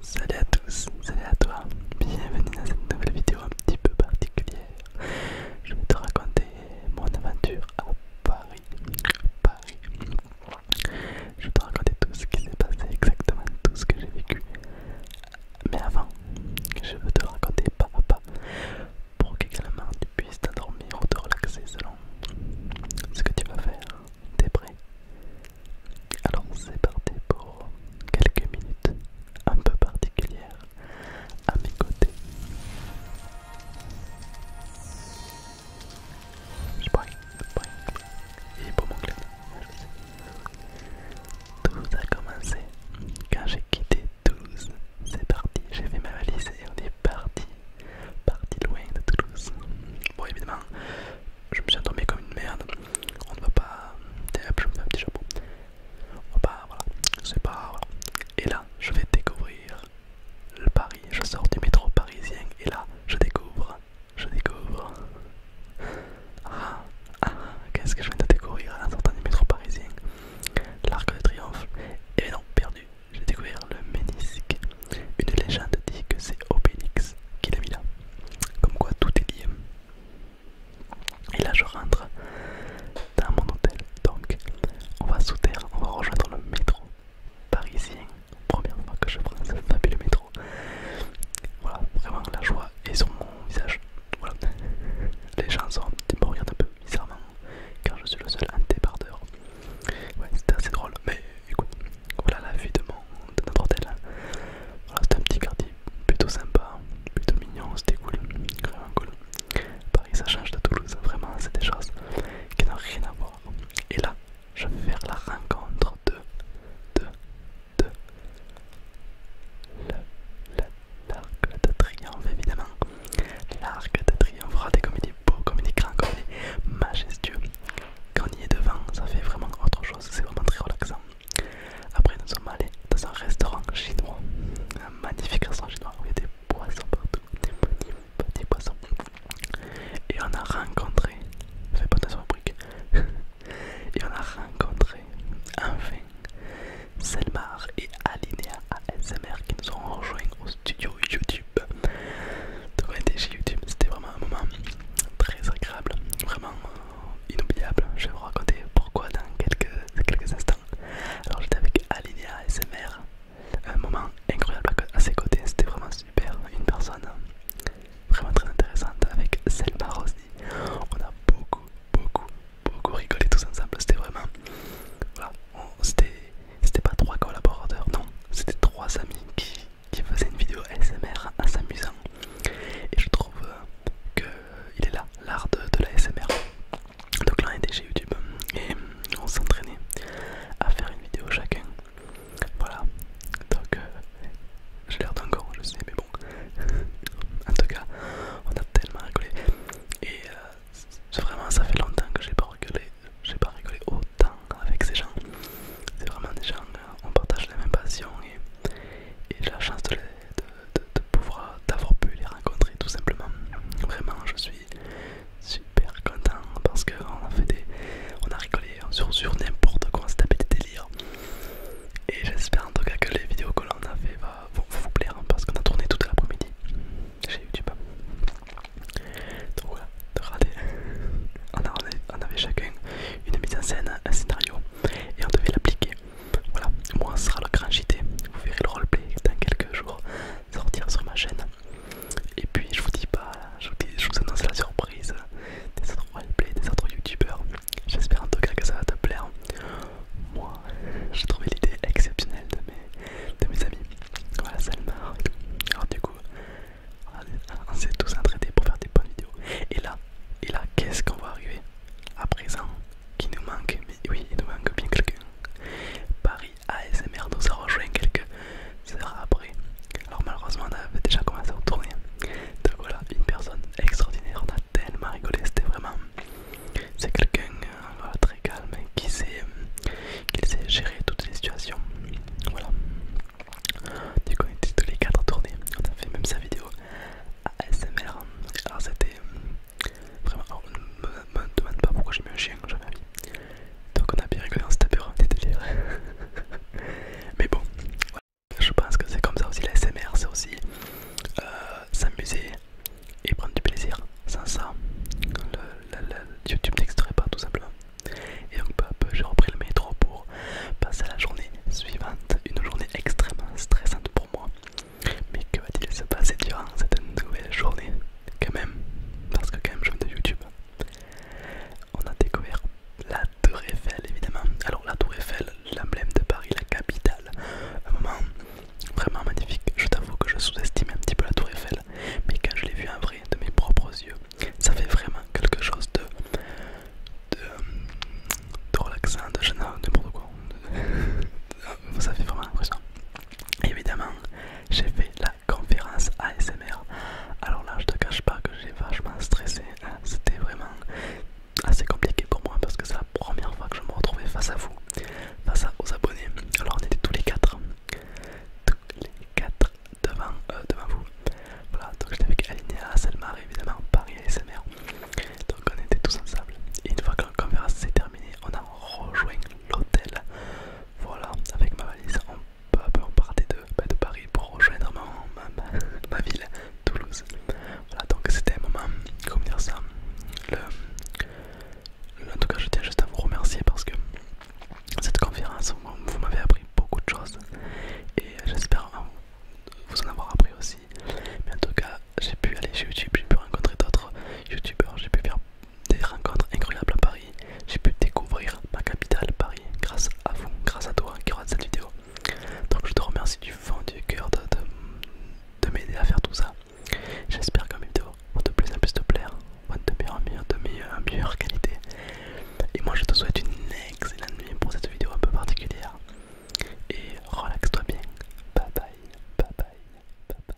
Salut à tous, salut à toi, bienvenue dans cette nouvelle vidéo un petit peu particulière. Je vais te raconter mon aventure à Paris. Je vais te raconter tout ce qui s'est passé, exactement tout ce que j'ai vécu. Mais avant, je veux te raconter pas à pas pour qu'également tu puisses t'endormir ou te relaxer selon ce que tu vas faire. T'es prêt alors c'est parti pour quelques minutes un peu particulières à mes côtés. Je Tout a commencé quand j'ai quitté Toulouse. C'est parti, j'ai fait ma valise et on est parti parti loin de Toulouse. Bon, évidemment, je me suis endormi comme une merde. On ne va pas. je me fais un petit chapeau. On va pas, voilà, c'est pas. Et là, je vais découvrir le Paris. Je sors du métro parisien et là, je découvre. Je découvre. Ah, ah qu'est-ce que je viens de découvrir en sortant du métro parisien L'arc de triomphe. Et eh non, perdu. J'ai découvert le ménisque. Une légende dit que c'est OpenX qui l'a mis là. Comme quoi tout est lié. Et là je rentre dans mon hôtel. Donc on va sous terre, on va rejoindre le métro parisien. Première fois que je prends ce fabuleux métro. Voilà, vraiment la joie est sur mon visage. Voilà. Les gens sont, me regardent un peu bizarrement car je suis le seul antébardeur. Ouais, c'était assez drôle, mais écoute, voilà la vie de, mon, de notre hôtel. Hein. Voilà, c'était un petit quartier plutôt sympa, plutôt mignon, c'était cool, vraiment cool. Paris, ça change de Toulouse, vraiment, c'est des choses qui n'ont rien à voir. Et là, je vais faire la rencontre de. de. de. la l'arc de triomphe, évidemment. L'arc de triomphe des comme il est beau, comme il est grand, comme il majestueux. Quand on y est devant, ça fait vraiment autre chose, c'est vraiment très relaxant. Après, nous sommes allés dans un restaurant chinois, un magnifique restaurant chinois où il y a des poissons partout, des petits, petits poissons. Et on a rencontré, Fais pas de briques. et on a rencontré enfin Selmar et Alinea ASMR qui nous ont rejoint au studio YouTube. Donc on était chez YouTube, c'était vraiment un moment très agréable, vraiment euh, inoubliable. Je vais vous raconter pourquoi dans quelques, instants. Alors j'étais avec Alinea ASMR, un moment incroyable à ses côtés, c'était vraiment super, une personne euh, vraiment très intéressante avec Selma aussi, On a beaucoup, beaucoup, beaucoup rigoler tous ensemble. C'était vraiment. Voilà, c'était pas trois collaborateurs, non, c'était trois amis qui, faisaient une vidéo SMR en s'amusant. Et je trouve euh, que il est là, l'art de, la SMR. Donc là on était chez YouTube et on s'entraînait à faire une vidéo chacun. Voilà. Donc euh, j'ai l'air d'un con, je sais, mais bon. en tout cas, on a tellement rigolé. Et euh, vraiment, ça fait longtemps que j'ai pas rigolé, j'ai pas rigolé autant avec ces gens. C'est vraiment des gens, euh, on partage les mêmes passions et, j'ai la chance de, pouvoir d'avoir pu les rencontrer tout simplement. Vraiment, je suis super content parce qu'on a fait des, on a rigolé sur, n'importe quoi, on des délires. Et j'espère en tout cas que les vidéos que l'on a fait bah, vous plaire hein, parce qu'on a tourné toute l'après-midi chez YouTube. Donc voilà, on, avait, chacun une mise en scène, un scénario et on devait l'appliquer. Voilà, moi ce sera le grand JT, vous verrez le roleplay dans quelques jours sortir sur ma chaîne. Et puis je vous dis pas, je vous, je annonce la surprise des autres roleplay, des autres youtubeurs J'espère en tout cas que ça va te plaire. Moi, j'ai trouvé l'idée exceptionnelle de mes, amis. Voilà, ça le marque. Alors, du coup, on s'est tous entraînés pour faire des bonnes vidéos. Et là, et là qu'est-ce qu'on va arriver à présent Qui nous manque Mais oui, il nous manque bien quelqu'un. Paris ASMR nous a rejoint quelques heures après. Alors, malheureusement, on avait déjà commencé à tourner. Donc, voilà, une personne extraordinaire, on a tellement rigolé, c'était vraiment... C'est quelqu'un euh, très calme qui sait, euh, qui sait gérer toutes les situations. Voilà. Du coup, on était tous les quatre à On a fait même sa vidéo ASMR. Alors, c'était euh, vraiment. Alors, ne me demande pas pourquoi j'ai mis un chien, j'avais envie. Donc, on a bien rigolé, on s'est tapé des délires. Mais bon, je pense que c'est comme ça aussi la SMR, c'est aussi euh, s'amuser et prendre du plaisir. Sans ça, YouTube n'existerait pas tout simplement. Et donc peu à peu, j'ai repris le métro pour passer à la journée suivante, une journée extrêmement stressante pour moi. Mais que va-t-il se passer durant cette nouvelle journée Quand même, parce que quand même je viens de YouTube on a découvert la Tour Eiffel évidemment. Alors la Tour Eiffel, l'emblème de Paris, la capitale. Un moment vraiment magnifique. Je t'avoue que je sous-estime un petit peu la Tour Eiffel, mais quand je l'ai vue en vrai de mes propres yeux, ça fait vraiment quelque chose de de, de relaxant, de n'importe quoi. ça fait vraiment l'impression. Évidemment, j'ai fait la conférence ASMR. Alors là, je te cache pas que j'ai vachement stressé. Hein. C'était vraiment assez compliqué pour moi parce que c'est la première fois que je me retrouvais face à vous, face à, aux abonnés. Alors on était tous les quatre, tous les quatre devant, euh, devant vous. Voilà, donc j'étais avec Alinéa, Selmar évidemment, Paris ASMR. Donc on était tous ensemble. Et une fois que la conférence s'est terminée, on a rejoint l'hôtel. Voilà, avec ma valise, bah, peu, on partait de, Paris pour rejoindre ma, ville, Toulouse. Voilà, donc c'était un moment, comment dire ça le, En tout cas, je tiens juste à vous remercier parce que cette conférence, vous, m'avez appris beaucoup de choses et j'espère vous en avoir appris aussi. Mais en tout cas, j'ai pu aller chez YouTube, j'ai pu rencontrer d'autres youtubeurs, j'ai pu faire des rencontres incroyables à Paris. J'ai pu découvrir ma capitale Paris grâce à vous, grâce à toi qui regardes cette vidéo. Donc je te remercie du fond du cœur de, m'aider à faire tout ça. J'espère que mes vidéos vont de plus en plus te plaire, vont de meilleure en meilleure, qualité. Et moi je te souhaite une excellente nuit pour cette vidéo un peu particulière. Et relaxe-toi bien. bye, bye bye, bye bye.